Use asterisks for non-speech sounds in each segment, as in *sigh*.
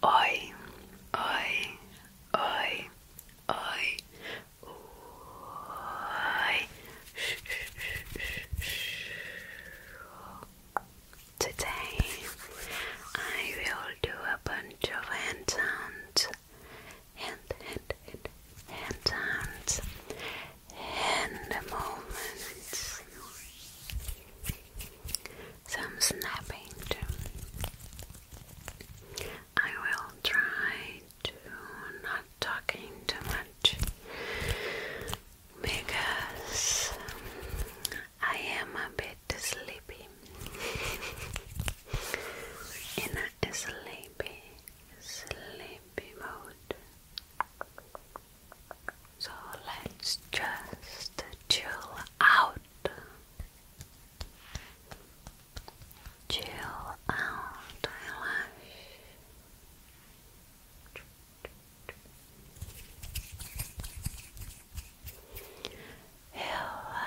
Oi, oi, oi, oi, oi. Today I will do a bunch of hand hand, hand, hand, hand sounds, hand movements, some snapping I will try to not talking too much because I am a bit sleepy. *laughs* In a sleepy sleepy mode. So let's just chill out. Chill out, eyelash. Relax.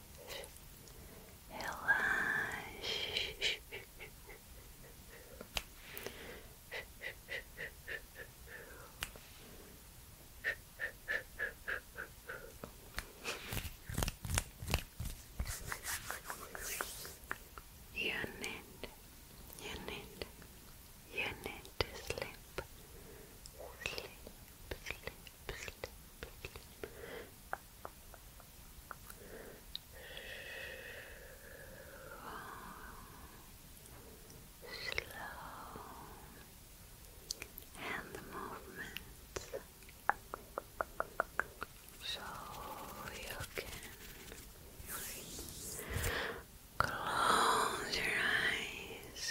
relaxe. You need, you need, you need to sleep slow, and the movements, so you can close your eyes.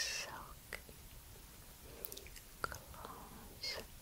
Close.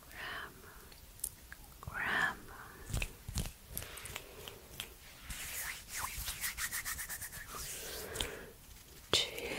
Grab, grab. Chill. Chill.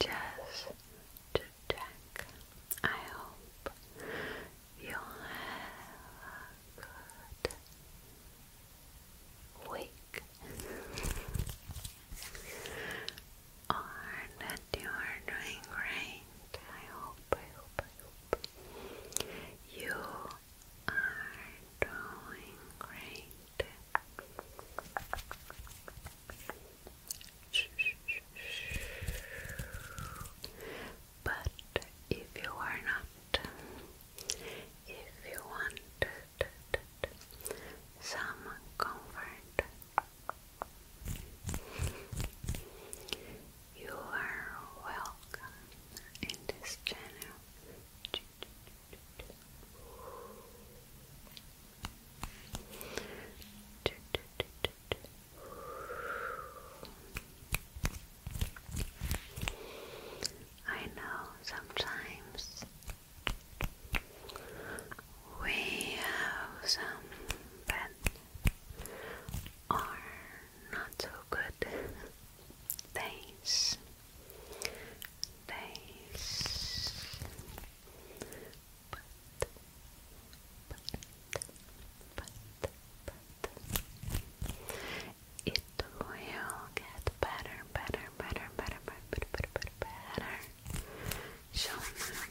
just to check. I hope you have a good week or you doing great. I hope, I hope, I hope you are doing great. But if you are not, if you want some comfort, you are welcome in this channel. I know sometimes we have some bad or not so good things nice but, but, but, but it will get better, better, better, better, better, better, better, better. So I promise.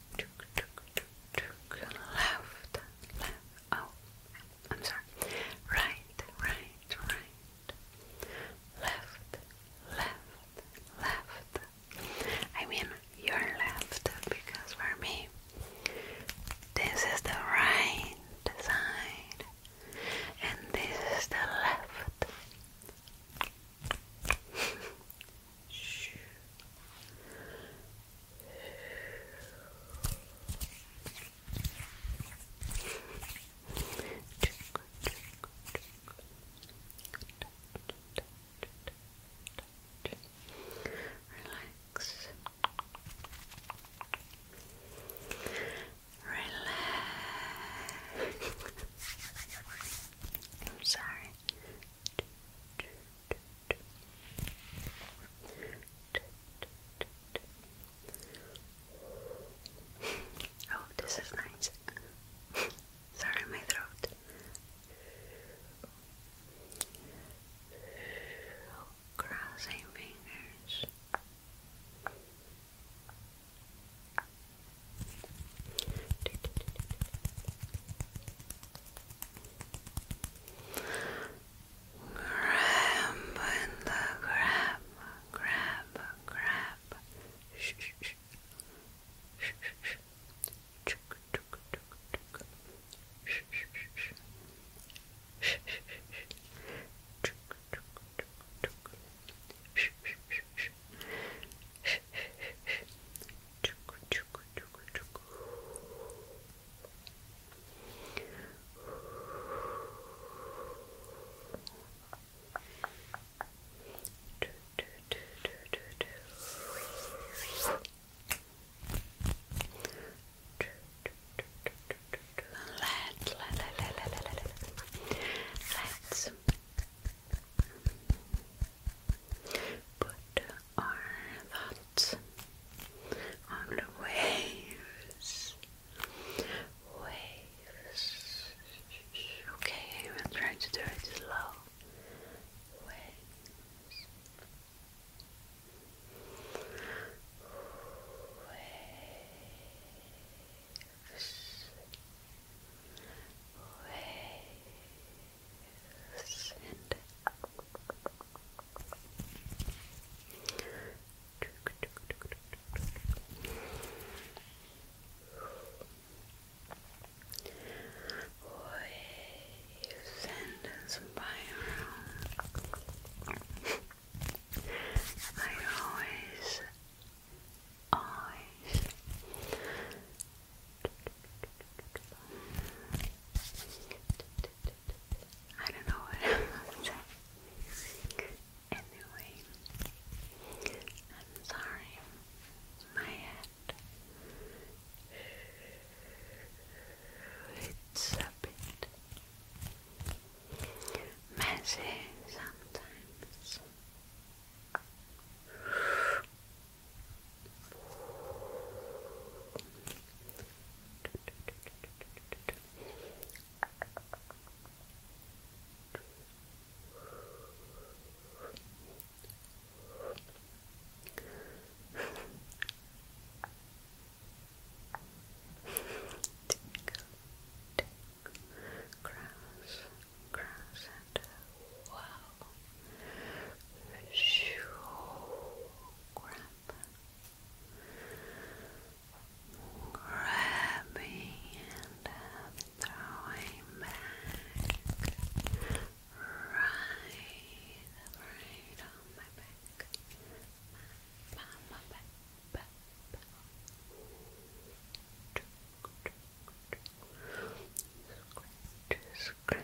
left, left, oh, I'm sorry, right, right, right, left, left, left, I mean your left because for me this is the right side and this is the left. *laughs* Relax. Relax. *laughs* I'm sorry. *laughs* Oh, this is nice. *laughs* Sorry, my throat. Crossing fingers. Grab and the grab, grab, grab. Shh, shh, shh. Shh, shh, shh. Shh, shh, shh. Shh, shh, shh. Shh, shh, shh. Let, let, let, let, let, let, let, let. Let's Put our thoughts on the waves. Waves. Okay, I'm trying to do it slow. Waves. Waves send you send some by around. I always, always I don't know Anyway, I'm sorry. My head. It's a bit messy sometimes. Grass, grass, and uh, wow, Grab. Grabbing throwing back. Right, right on my back. On my back, back, back. Scratch, scratch,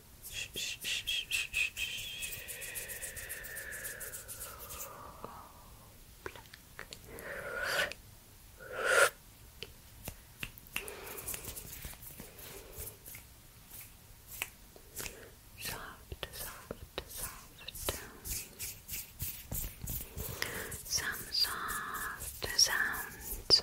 Soft, soft, soft. Some soft sounds.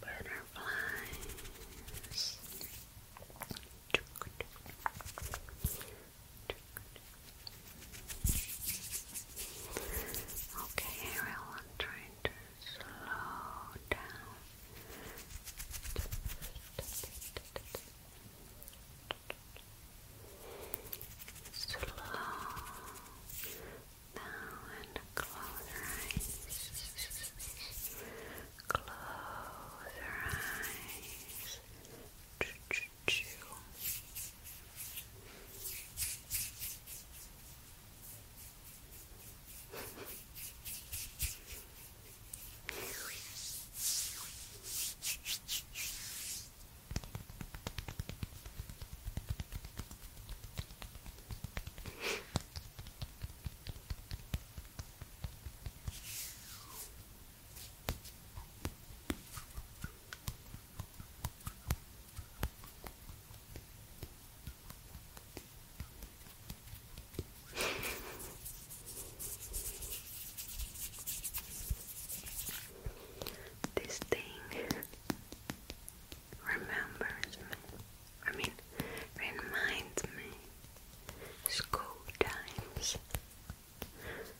butterflies. Okay, here I'm trying to slow down. Slow now and close your eyes. Close your eyes. Choo choo choo this thing *laughs* remembers me. I mean, reminds me school times. Calm down.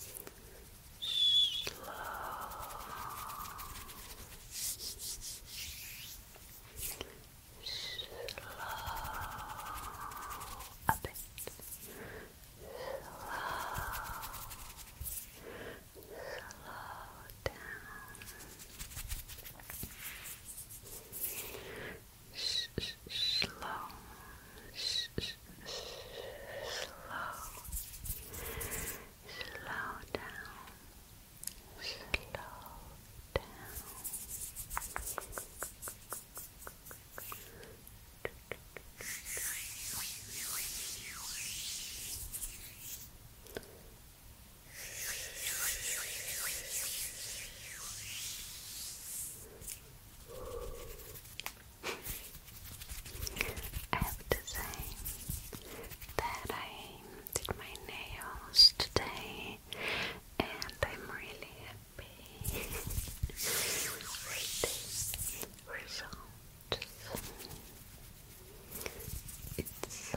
Slow. Slow. A bit. Slow. Slow down slow, slow, slow down, slow down. I have to say that I did my nails today and I'm really happy with this result. It's with a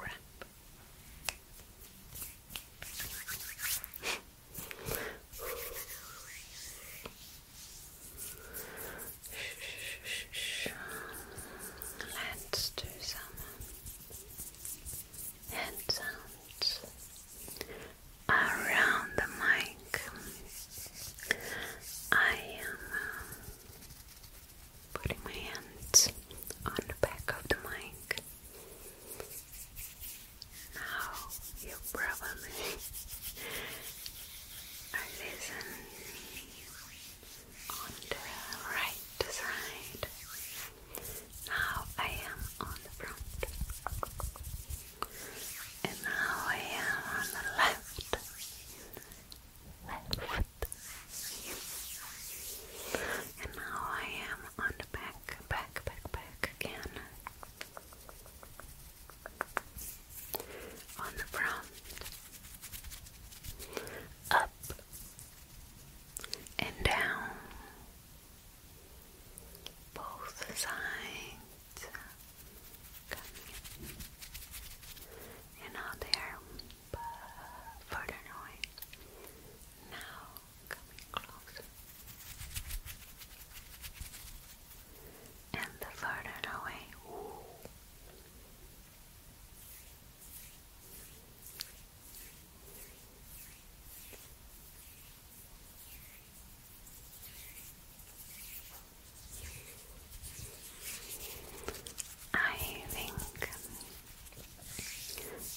wrap. Let's do some hand sounds around the mic. I am um, putting my hands on the back of the mic. Now you probably *laughs* listening on the right side. Now I am on the front, and now I am on the left left. And now I am on the back, back, back, back again. On the front, up and down, both sides, and out there further away. Now coming closer. And the further I think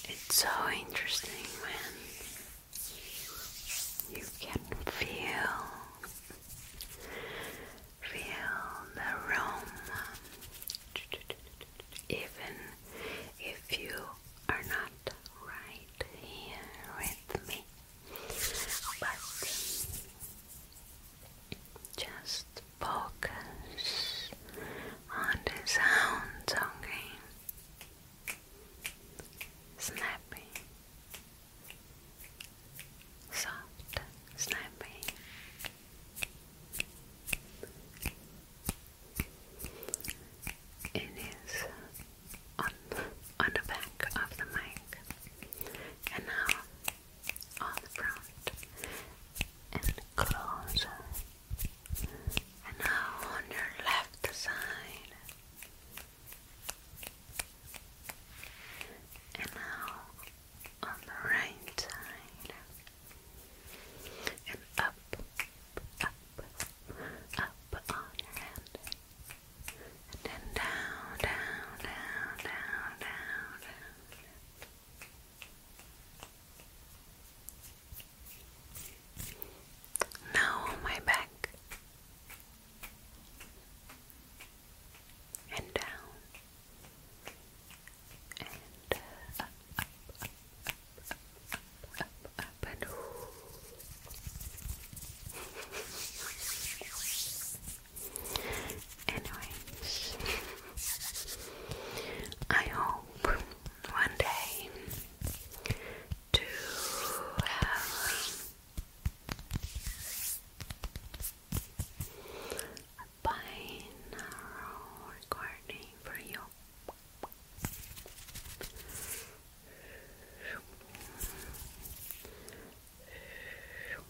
it's so interesting when you can feel feel the room even if you are not right here with me but just focus on the sounds, okay? Snappy, soft, snappy. It is on on the back of the mic, and now on the front and closer. And now on your left side. And now on the right side. And up, up, up on your hand. And down, down, down, down, down. Now on my back and down and up, up, up, up, up, up, Anyways, I hope one day to have a binaural recording for you.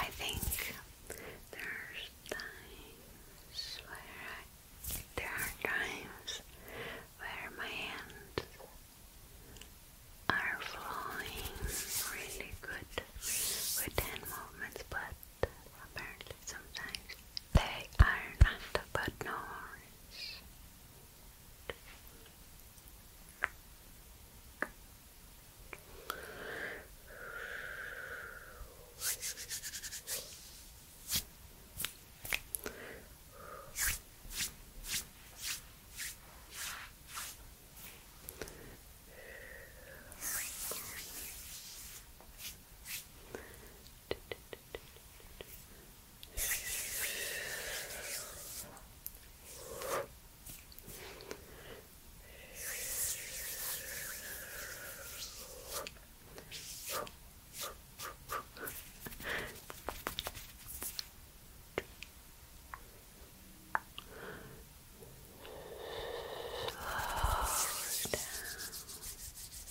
I think there's times where there are times where my hands are flowing really good with hand movements, but apparently sometimes they are not, but no Slow down.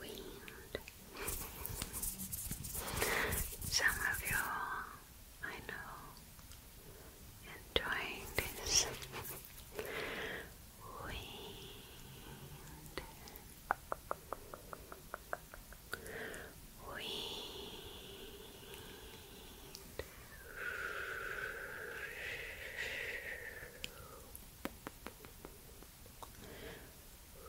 wind. Some of you, I know, enjoying this wind. Wind blowing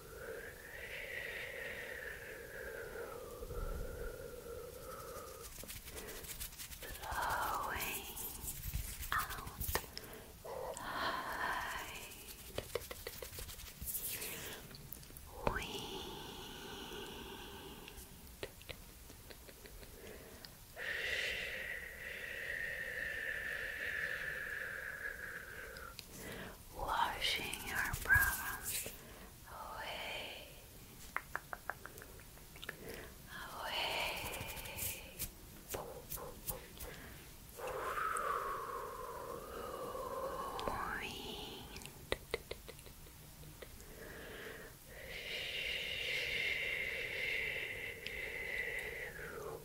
out wind washing our problems away, away. I'm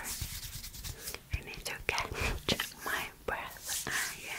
sorry. I need to catch my breath again.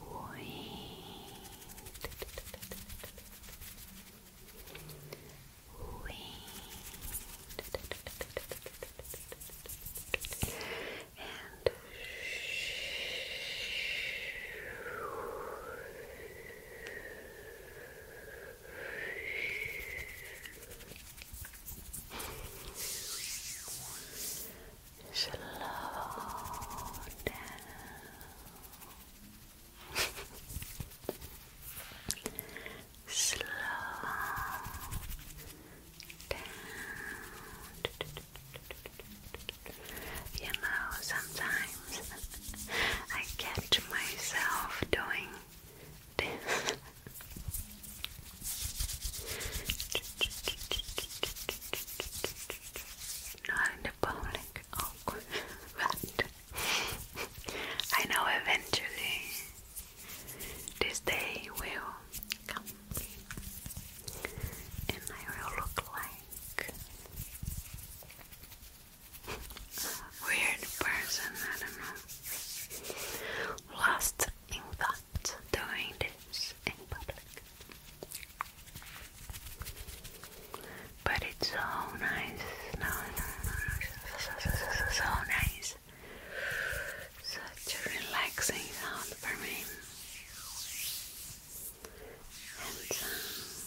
Wait. Wait. And Slow down. Slow down. You know, sometimes I catch myself doing this. *laughs* Not in public. but oh, *laughs* I know eventually this day will come and I will look like weird person, I don't know. Lost in thought doing this in public. But it's so nice. No, So, so, so, so, so nice. Such a relaxing sound for me. And sounds and sounds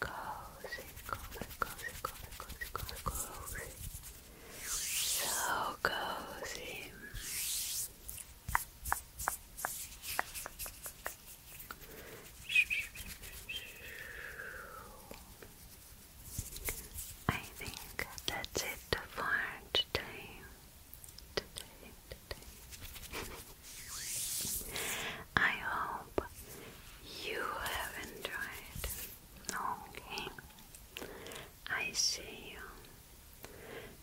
cozy, cozy, cozy, cozy, cozy, cozy, cozy. So cozy. I think that's it for today. *laughs* I hope you enjoyed. Okay. I see you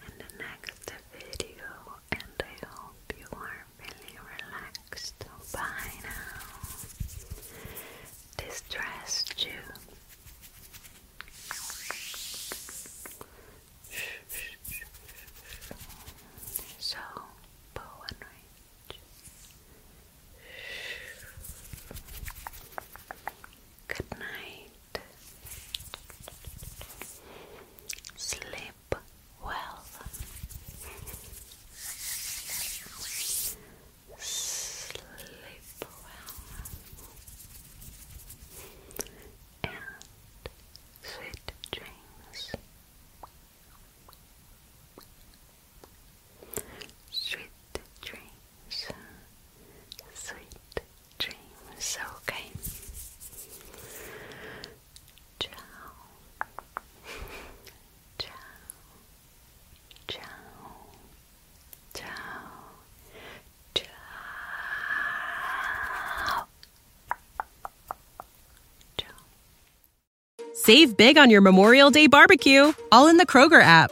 in the next video, and I hope you are feeling relaxed by now. Distressed you. So, bow and Good night. Sleep well. Sleep well. And sweet dreams. Sweet dreams sweet dreams, okay? Ciao, ciao, ciao, ciao, ciao. Save big on your Memorial Day barbecue, all in the Kroger app.